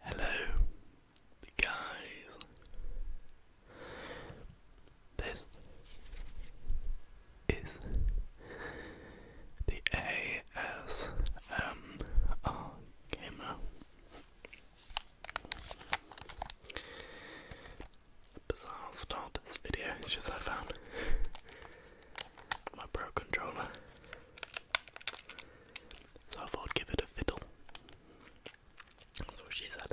Hello, guys. This is the ASMR camera. Bizarre start to this video, it's just I found my Pro controller. So I thought I'd give it a fiddle. That's what she said.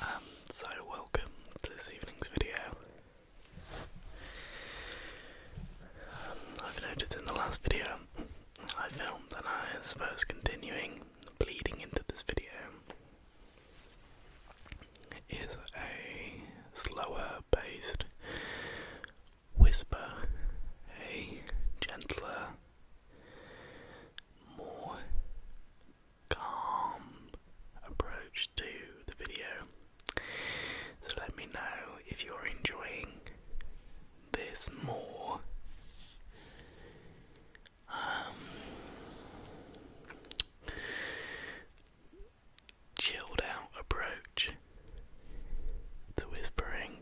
Um, so welcome to this evening's video. Um, I've noticed in the last video I filmed and I suppose continuing bleeding into this video is a slower paced whisper, a gentler, more calm approach to the video. So let me know if you're enjoying this more um, chilled out approach to whispering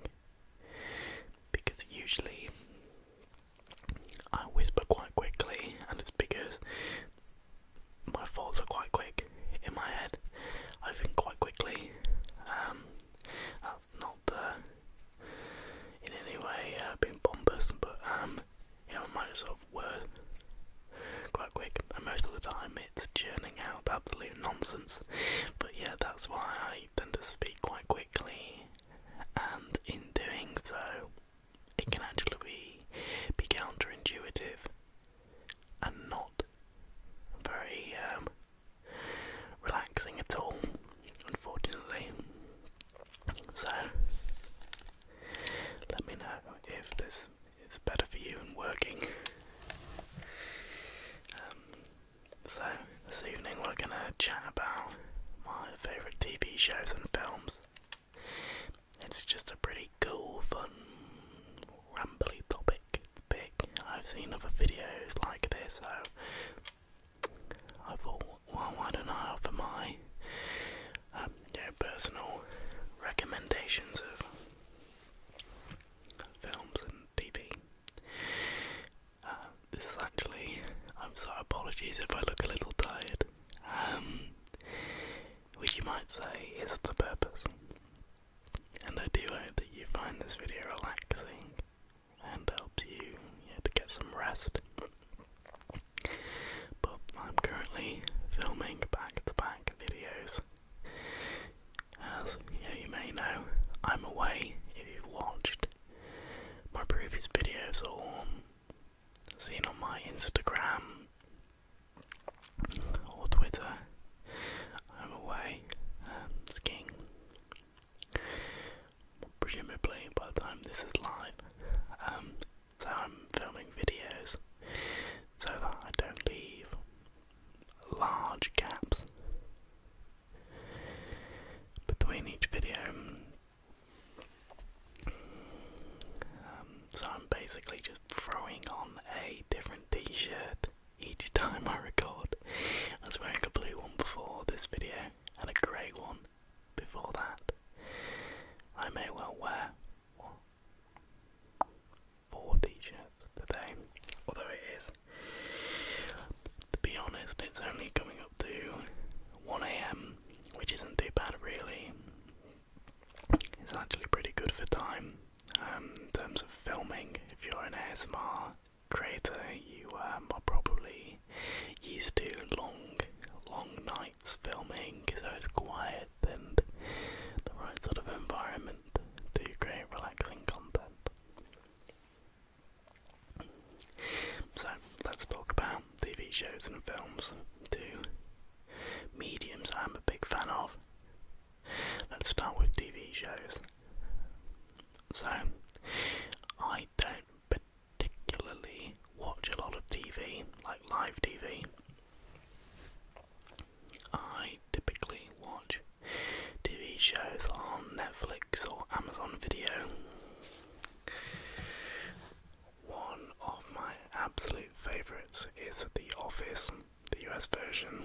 because usually I whisper quite quickly, and it's because my thoughts are quite quick in my head. I think quite quickly. Um, that's not the in any way uh, being bombus, but um, yeah, on Microsoft Word, quite quick, and most of the time it's churning out absolute nonsense. But yeah, that's why I tend to speak quite quickly, and in doing so, it can actually be, be counterintuitive and not very um, relaxing at all, unfortunately. So, let me know if this is better for you and working. Um, so, this evening we're going to chat about my favourite TV shows and films. It's just a pretty cool, fun, rambly topic I've seen other videos like this, so I thought, well, why don't I offer my um, personal recommendations of films and TV? Uh, this is actually, I'm sorry, apologies if I look a little tired, um, which you might say is the purpose. And I do hope that you find this video relaxing and helps you to get some rest. But I'm currently filming back to back videos. As you may know, I'm away if you've watched my previous videos or seen on my Instagram or Twitter. I'm away um, skiing presumably by the time this is live. Um, so I'm filming videos so that I don't leave large gaps between each video. Um, so I'm basically just throwing on a different t-shirt each time I record. I was wearing a blue one before this video and a grey one before that, I may well wear what, four t-shirts today, although it is, to be honest, it's only coming up to 1am, which isn't too bad really. It's actually pretty good for time um, in terms of filming. If you're an ASMR creator, you um, are probably used to long, long nights filming, so it's quiet and the right sort of environment to create relaxing content. So let's talk about TV shows and films, two mediums I'm a big fan of. Let's start with TV shows. So, I don't particularly watch a lot of TV, like live TV. I typically watch TV shows on Netflix or Amazon Video. One of my absolute favourites is The Office, the US version,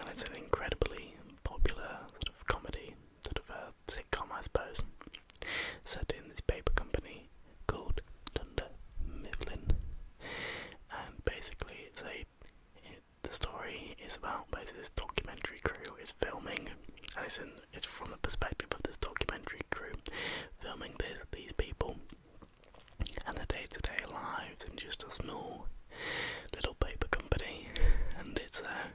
and it's an incredibly popular sort of comedy, sort of a uh, sitcom, I suppose, set in this paper company called Dunder Mifflin. And basically, it's a the story is about basically this documentary crew is filming, and it's in it's from the perspective of this documentary crew filming this these people and their day-to-day lives in just a small little paper company, and it's uh,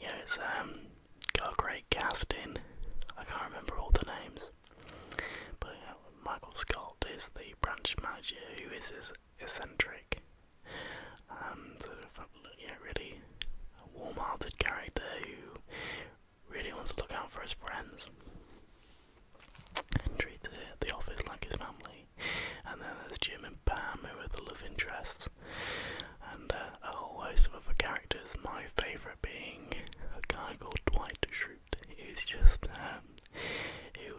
yeah, it's um, got a great cast in. I can't remember all the names, but Michael Scott is the branch manager who is as eccentric and um, sort of you know, really warm-hearted character who really wants to look out for his friends and treat the office like his family. And then there's Jim and Pam who are the love interests and uh, a whole host of other characters. My favourite being a guy called Dwight Schrute, He's just you, um, who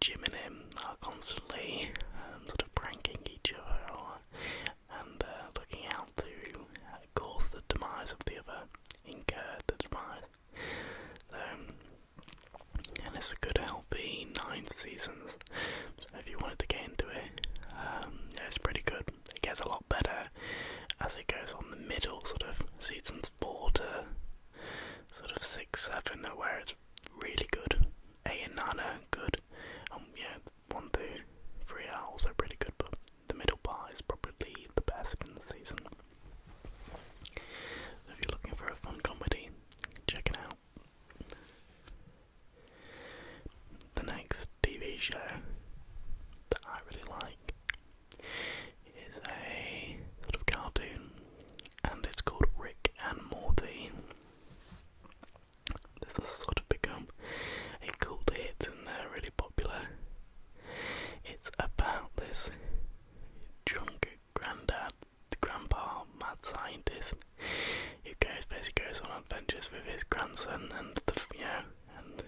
Jim and him are constantly um, sort of pranking each other and uh, looking out to uh, cause the demise of the other, incur the demise. So, um, and it's a good healthy nine seasons so if you wanted to get into it, um, it's pretty good. It gets a lot better as it goes on the middle, sort of seasons four to sort of six, seven, uh, where it's really good. A and Nana are good. Um, yeah, one three are also pretty good, but the middle part is probably the best in the season. if you're looking for a fun comedy, check it out. The next TV show that I really like is a sort of cartoon and it's called Rick and Morty. This has sort of become a cult hit and they're really popular. It's about this drunk granddad, grandpa, mad scientist he goes basically goes on adventures with his grandson, and the you know, and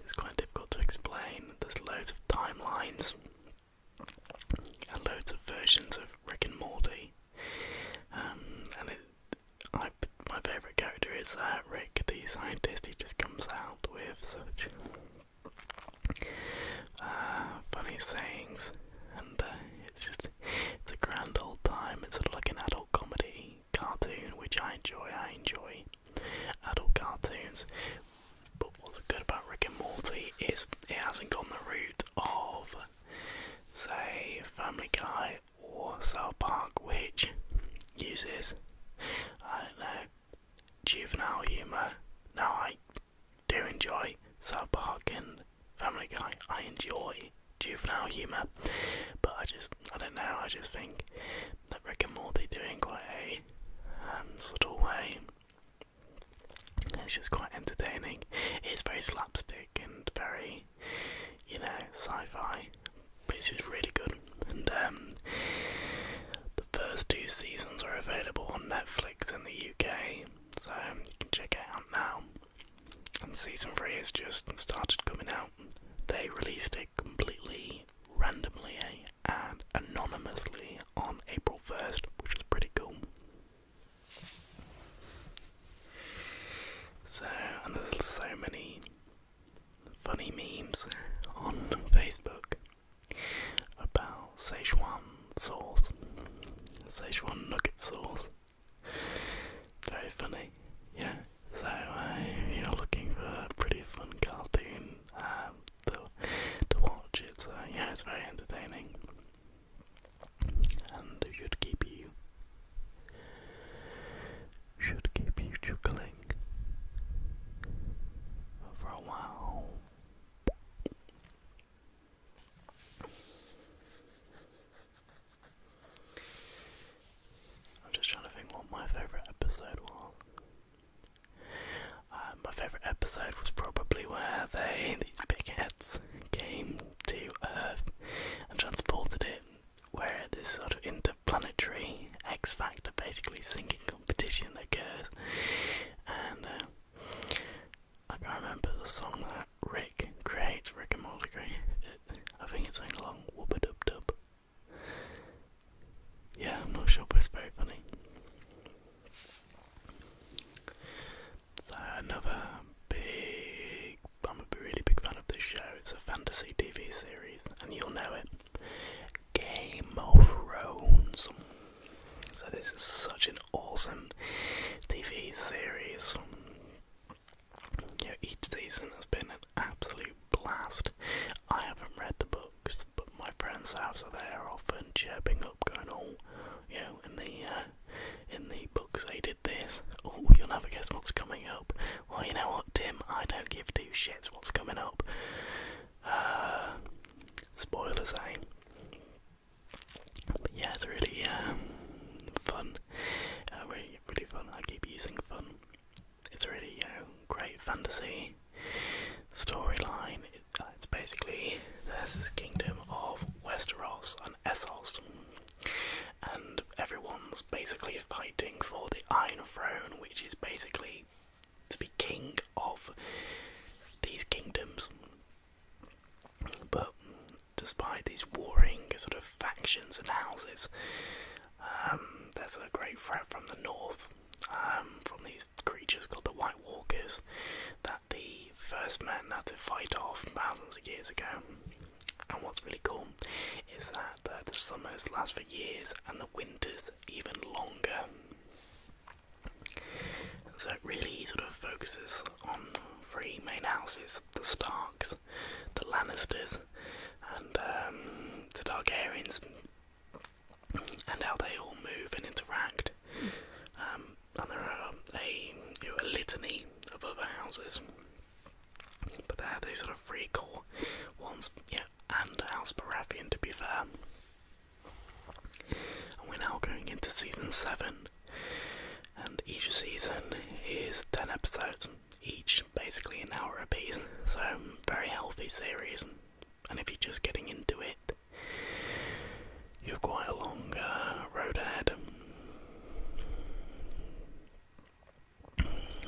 it's quite difficult to explain. There's loads of timelines and loads of versions of Rick and Morty, um, and my favourite character is uh, Rick, the scientist. He just comes out with such. Uh, funny sayings, and uh, it's just it's a grand old time. It's sort of like an adult comedy cartoon, which I enjoy. I enjoy adult cartoons. But what's good about Rick and Morty is it hasn't gone the route of, say, Family Guy or South Park, which uses, I don't know, juvenile humour. Now I do enjoy South Park and Family Guy. I enjoy juvenile humour, but I just, I don't know, I just think that Rick and Morty doing quite a um, sort of way. It's just quite entertaining. It's very slapstick and very, you know, sci-fi, but it's just really good. And um, the first two seasons are available on Netflix in the UK, so you can check it out now and season three has just started coming out. They released it completely randomly eh, and anonymously on April 1st, which is pretty cool. So, and there's so many funny memes on Facebook about Szechuan sauce, Szechuan nugget sauce. Very funny, yeah. So uh, you're looking for a pretty fun cartoon um, to, to watch, it's uh, yeah, it's very entertaining, and it should keep you should keep you chuckling for a while. I'm just trying to think what my favourite episode was. Uh, my favourite episode was probably where they, these big heads, came to Earth and transported it, where this sort of interplanetary X Factor basically singing competition occurs. And uh, I can't remember the song that Rick creates Rick and Morty. I think it's something along Wubba Dub Dub. Yeah, I'm not sure, but it's very funny. So another big, I'm a really big fan of this show. It's a fantasy TV series, and you'll know it. Game of Thrones. So this is such an awesome TV series. Yeah, each season has been an absolute blast. I haven't read the books, but my friends houses are there, are often chirping up, going, all. Oh, you know, in the uh, in the books they did this. Oh, you'll never guess what's coming up. Well, you know what, Tim? I don't give two shits what's coming up. Uh, spoilers, eh? yeah, it's really um, fun. Uh, really, really fun. I keep using fun. It's a really uh, great fantasy storyline. Uh, it's basically there's this kingdom of Westeros and Essos, and everyone's basically fighting for the Iron Throne, which is basically to be king of these kingdoms. But despite these warring sort of factions and houses, um, there's a great threat from the north, um, from these creatures called the White Walkers, that the first men had to fight off thousands of years ago. And what's really cool is that uh, the summers last for years and the winters even longer. So it really sort of focuses on three main houses the Starks, the Lannisters, and um, the Targaryens, and how they all move and interact. Um, and there are a, litany of other houses, but they're these sort of free core ones, yeah, and House Baratheon to be fair. And we're now going into season 7 and each season is 10 episodes, each basically an hour a piece. So, very healthy series. And if you're just getting into it, you've quite a long uh, road ahead.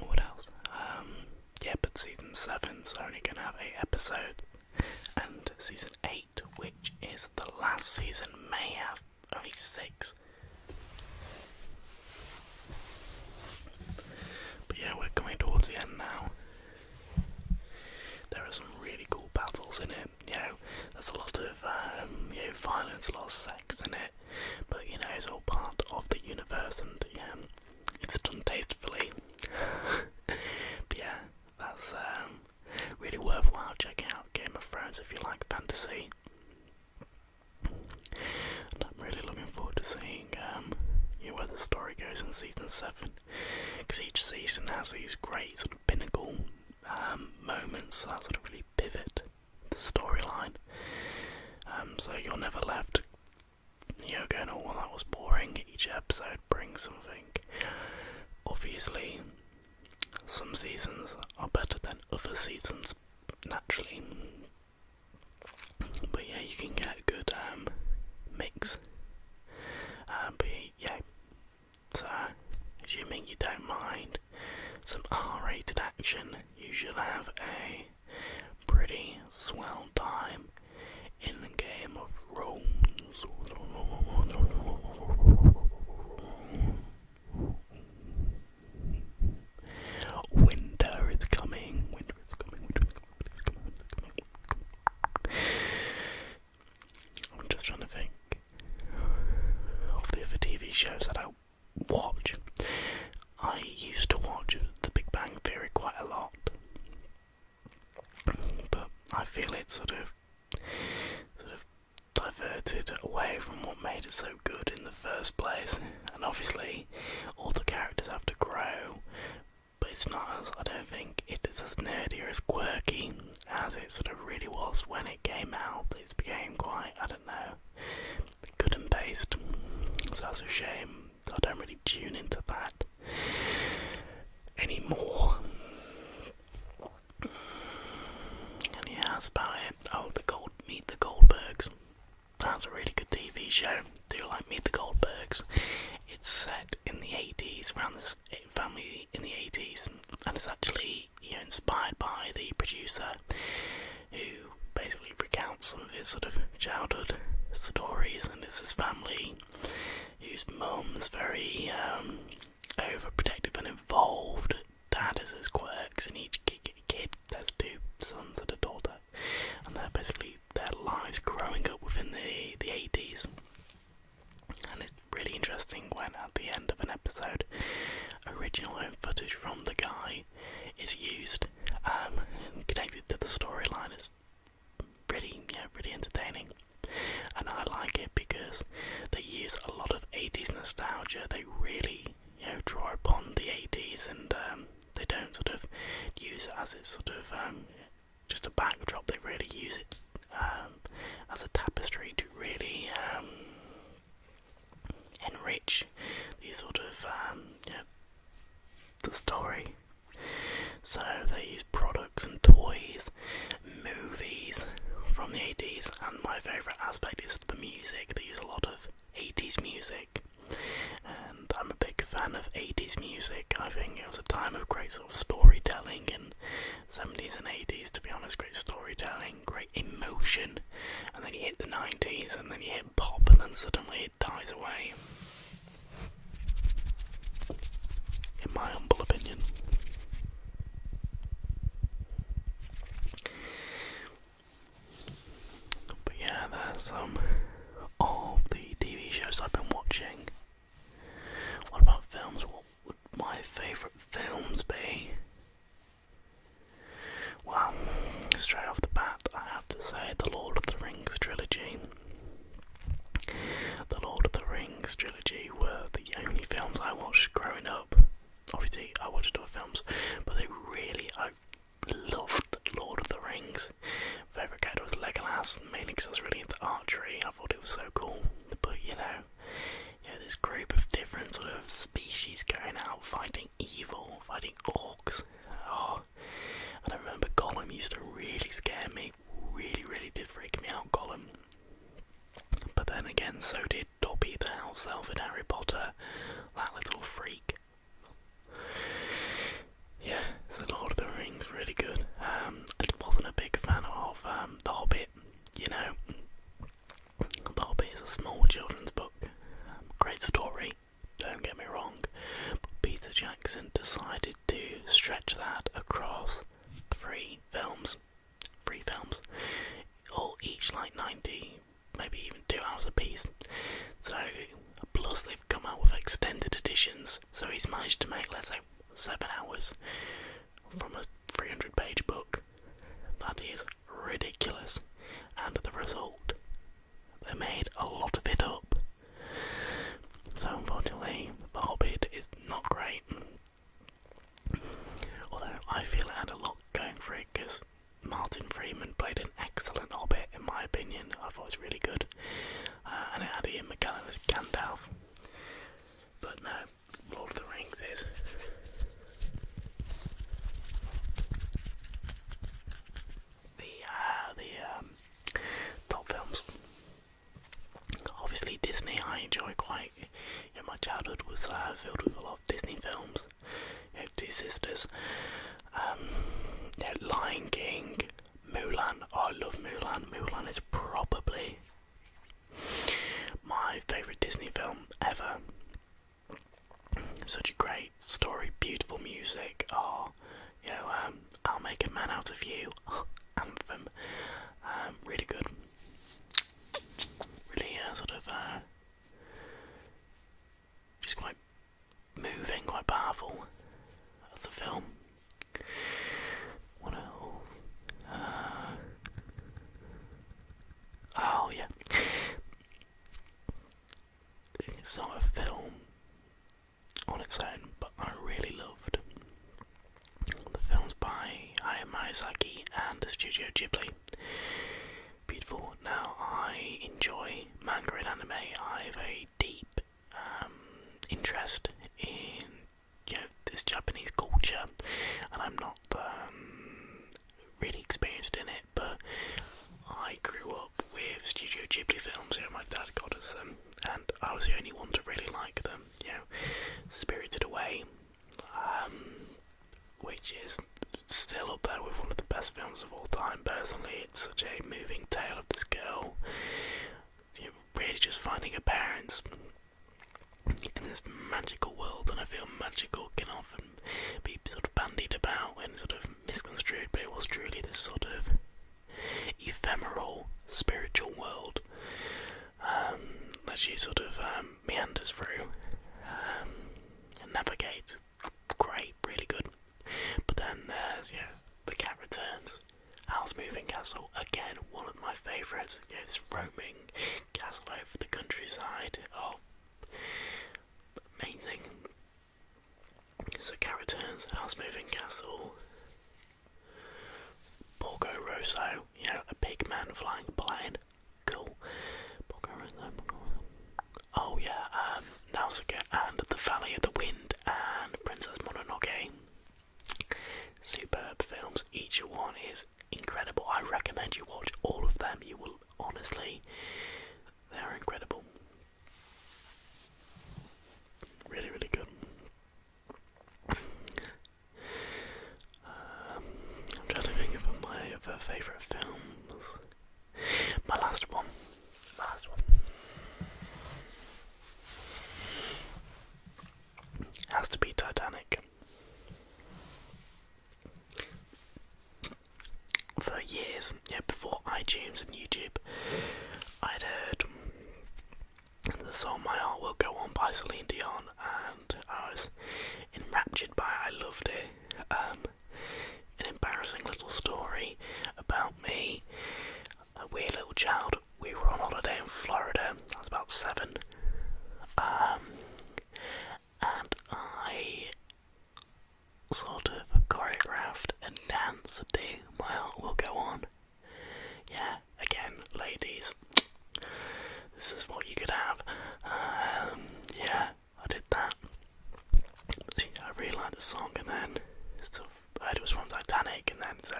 What else? Um, yeah, but season 7's only going to have 8 episodes, and season 8, which is the last season, may have only six. But yeah, we're coming towards the end now. There are some really cool battles in it. You there's a lot of um, violence, a lot of sex in it. But you know, it's all part of the universe, and yeah, it's done tastefully. but yeah, that's um, Really worthwhile checking out Game of Thrones if you like fantasy. I'm really looking forward to seeing um, where the story goes in season seven, because each season has these great sort of pinnacle um, moments that sort of really pivot the storyline. Um, so you're never left, you know, going, "Oh, well, that was boring." Each episode brings something. Obviously, some seasons are better than other seasons naturally. But yeah, you can get a good um, mix. Uh, but yeah, so assuming you don't mind some R-rated action, you should have a pretty swell time in the game of Rome. Winter is coming. Winter is coming. I'm just trying to think of the other TV shows that I watch. I used to watch The Big Bang Theory quite a lot, but I feel it's sort of sort of diverted away from what made it so good in the first place. And obviously, all the characters have to grow, but it's not as I don't think it is as nerdy or as quirky as it sort of really was when it came out. It's became quite I don't know good and based. So that's a shame. I don't really tune into that anymore. And about it. Oh, the Gold Meet the Goldbergs. That's a really good TV show. Do you like Meet the Goldbergs? It's set in the 80s, around this family in the 80s, and, it's actually you know, inspired by the producer who basically recounts some of his sort of childhood stories. And it's his family His mum's very um, overprotective and involved. Dad has his quirks, and each kid has two sons and a daughter, and they're basically their lives growing up within the the 80s. And it's really interesting when at the end of an episode, original home footage from the guy is used um, and connected to the storyline. It's really, yeah, really entertaining, and I like it because they use a lot of 80s nostalgia. They really, you know, draw upon the 80s and um, they don't sort of use it as it's sort of um, just a backdrop. They really use it um, as a tapestry to really enrich the sort of, the story. So they use products and toys movies from the 80s, and my favourite aspect is the music. They use a lot of 80s music, and I'm a big fan of 80s music. I think it was a time of great sort of storytelling in 70s and 80s, to be honest, great storytelling, great emotion, and then you hit the 90s, and then you hit pop, and then suddenly it dies away. In my humble opinion. But yeah, that's um all the TV shows I've been watching. What about films? What would my favourite films be? Well, straight off the bat, I have to say the Lord of the Rings trilogy. The Lord of the Rings trilogy were the only films I watched growing up obviously I watched other films, but they really I loved Lord of the Rings. Favorite character was Legolas, mainly because I was really into archery. I thought it was so cool. But you know, you know, this group of different sort of species going out fighting evil, fighting orcs. Oh, and I remember Gollum used to really scare me. Really, really did freak me out, Gollum. But then again, so did Dobby the house elf in Harry Potter, that little freak. Yeah, The Lord of the Rings, really good. Um, wasn't a big fan of um, The Hobbit, you know. The Hobbit is a small children's book, um, great story, don't get me wrong, but Peter Jackson decided to stretch that across three films three films, all each like 90, maybe even two hours apiece. So, plus they've come out with extended editions, so he's managed to make, let's say, seven hours from a 300 page book. That is ridiculous. And the result, they made a lot of it up. So, unfortunately, The Hobbit is not great. Although I feel it had a lot going for it because Martin Freeman played an excellent Hobbit in my opinion. I thought it was really good. Uh, and it had Ian McKellen as Gandalf. But no, Lord of the Rings is. The uh, the um, top films. Obviously Disney I enjoy quite like my childhood was uh, filled with a lot of Disney films. You know, Two Sisters, um, Lion King, Mulan. Oh, I love Mulan. Mulan is probably my favourite Disney film ever. Such a great story, beautiful music. Oh, you know, um, I'll make a man out of you. Anthem, um, really good really uh, sort of uh, just quite moving, quite powerful as film. What else? Uh, oh yeah, it's not a film on its own, but I really loved the film's by Hayao Miyazaki and Studio Ghibli. Beautiful. Now, I enjoy manga and anime. I have a deep um, interest in you know, this Japanese culture, and I'm not um, really experienced in it, but I grew up with Studio Ghibli films. You know, my dad got us them, and I was the only one to really like them. You know, Spirited Away um, which is still up there with one of the best films of all time. Personally, it's such a moving tale of this girl, really just finding her parents in this magical world, and I feel magical can often be sort of bandied about and sort of misconstrued, but it was truly this sort of ephemeral spiritual world um, that she sort of um, meanders through um, and navigates. Great, really good. But then there's, yeah, The Cat Returns, house Moving Castle, again, one of my favourites. Yeah, this roaming castle over the countryside. Oh, amazing. So, Cat Returns, Al's Moving Castle. Porco Rosso, you know, a big man flying plane. Cool. oh yeah, um, Nausicaa and the Valley of the Wind and Princess Mononoke. Superb films. Each one is incredible. I recommend you watch all of them. You will honestly, they're incredible. Really, really good. I'm trying to think of my other favourite films. My last one. My last one has to be Titanic. For years, yeah, before iTunes and YouTube, I'd heard the song My Heart Will Go On by Celine Dion I was enraptured by it. I loved it. Um, an embarrassing little story about me. A weird little child. We were on holiday in Florida. I was about seven, um, and I sort of choreographed and danced to "My Heart Will Go On." Yeah, again, ladies. This is what you could have. Um, yeah, I did that. I really liked the song, and then heard it was from Titanic, and then so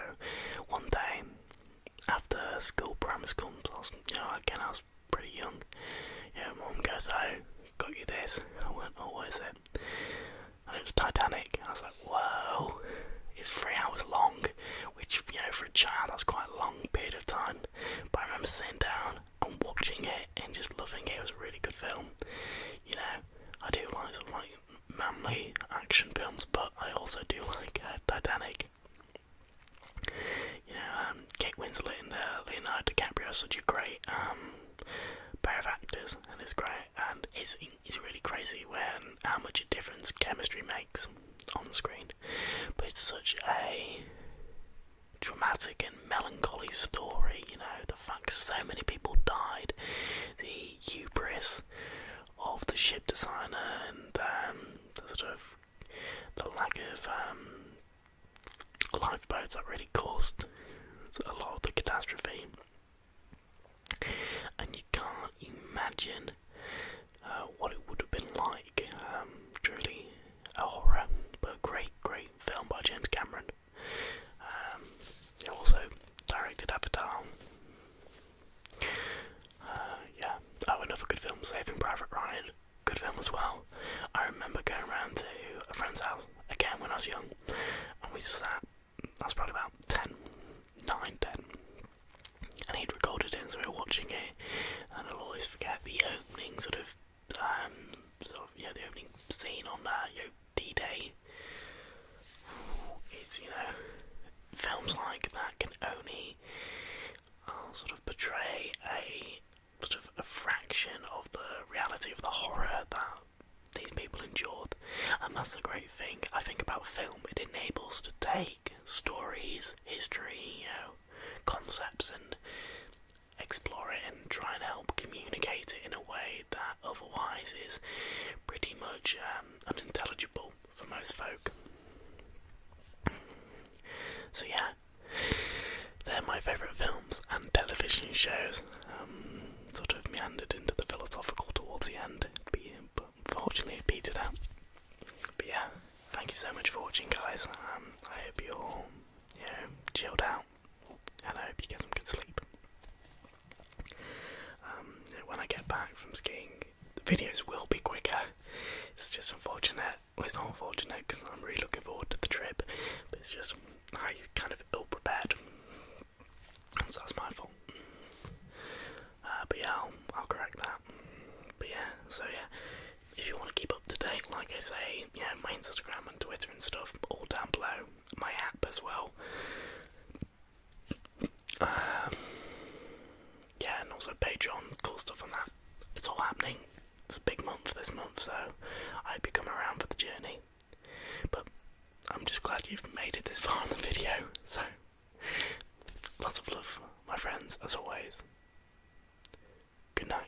one day after school, primary school, I was, you know, again I was pretty young. Yeah, mum goes, "Oh, got you this." I went, "Oh, what is it?" And it was Titanic. I was like, "Whoa!" It's three hours long, which you know for for a child, that's quite a long period of time. But I remember sitting down and watching it and just loving it. It was a really good film. You know, I do like like manly action films, but I also do like uh, Titanic. You know, um, Kate Winslet and uh, Leonardo DiCaprio are such a great um, pair of actors, and it's great. And it's it's really crazy when how much a difference chemistry makes on screen, but it's such a dramatic and melancholy story. You know, the fact so many people died, the hubris of the ship designer, and um, the sort of the lack of um, lifeboats that really caused a lot of the catastrophe. And you can't imagine uh, what it would have been like. Um, truly a horror, but a great, great film by James Cameron. Um, he also directed Avatar. Uh, yeah, oh, another good film, Saving Private Ryan. Good film as well. I remember going around to a friend's house again when I was young, and we sat. That's probably about 10, 9, 10, and he'd recorded it as we were watching it, and I'll always forget the opening sort of, um, sort of, you the opening scene on uh, D-Day. It's you know, films like that can only uh, sort of portray a sort of a fraction of the reality of the horror that these people endured, and that's the great thing. I think about film; it enables to take stories, history, you know, concepts, and explore it and try and help communicate it in a way that otherwise is pretty much um, unintelligible for most folk. So, yeah, they're my favourite films and television shows. Um, sort of meandered into the philosophical towards the end, but unfortunately it petered out. But yeah, thank you so much for watching, guys. Um, I hope you're, all, chilled out, and I hope you get some good sleep. Um, when I get back from skiing, the videos will be quicker. It's just unfortunate. it's not unfortunate because I'm really looking forward to the trip, but it's just I kind of ill prepared, so that's my fault. Uh, but yeah, I'll, I'll correct that. But yeah, so yeah, if you want to keep up to date, like I say, yeah, my Instagram and Twitter and stuff, all down below. My app as well. Um, yeah, and also Patreon, cool stuff on that. It's all happening. It's a big month this month, so I hope you come around for the journey. But I'm just glad you've made it this far in the video. So Lots of love, my friends, as always. Good night.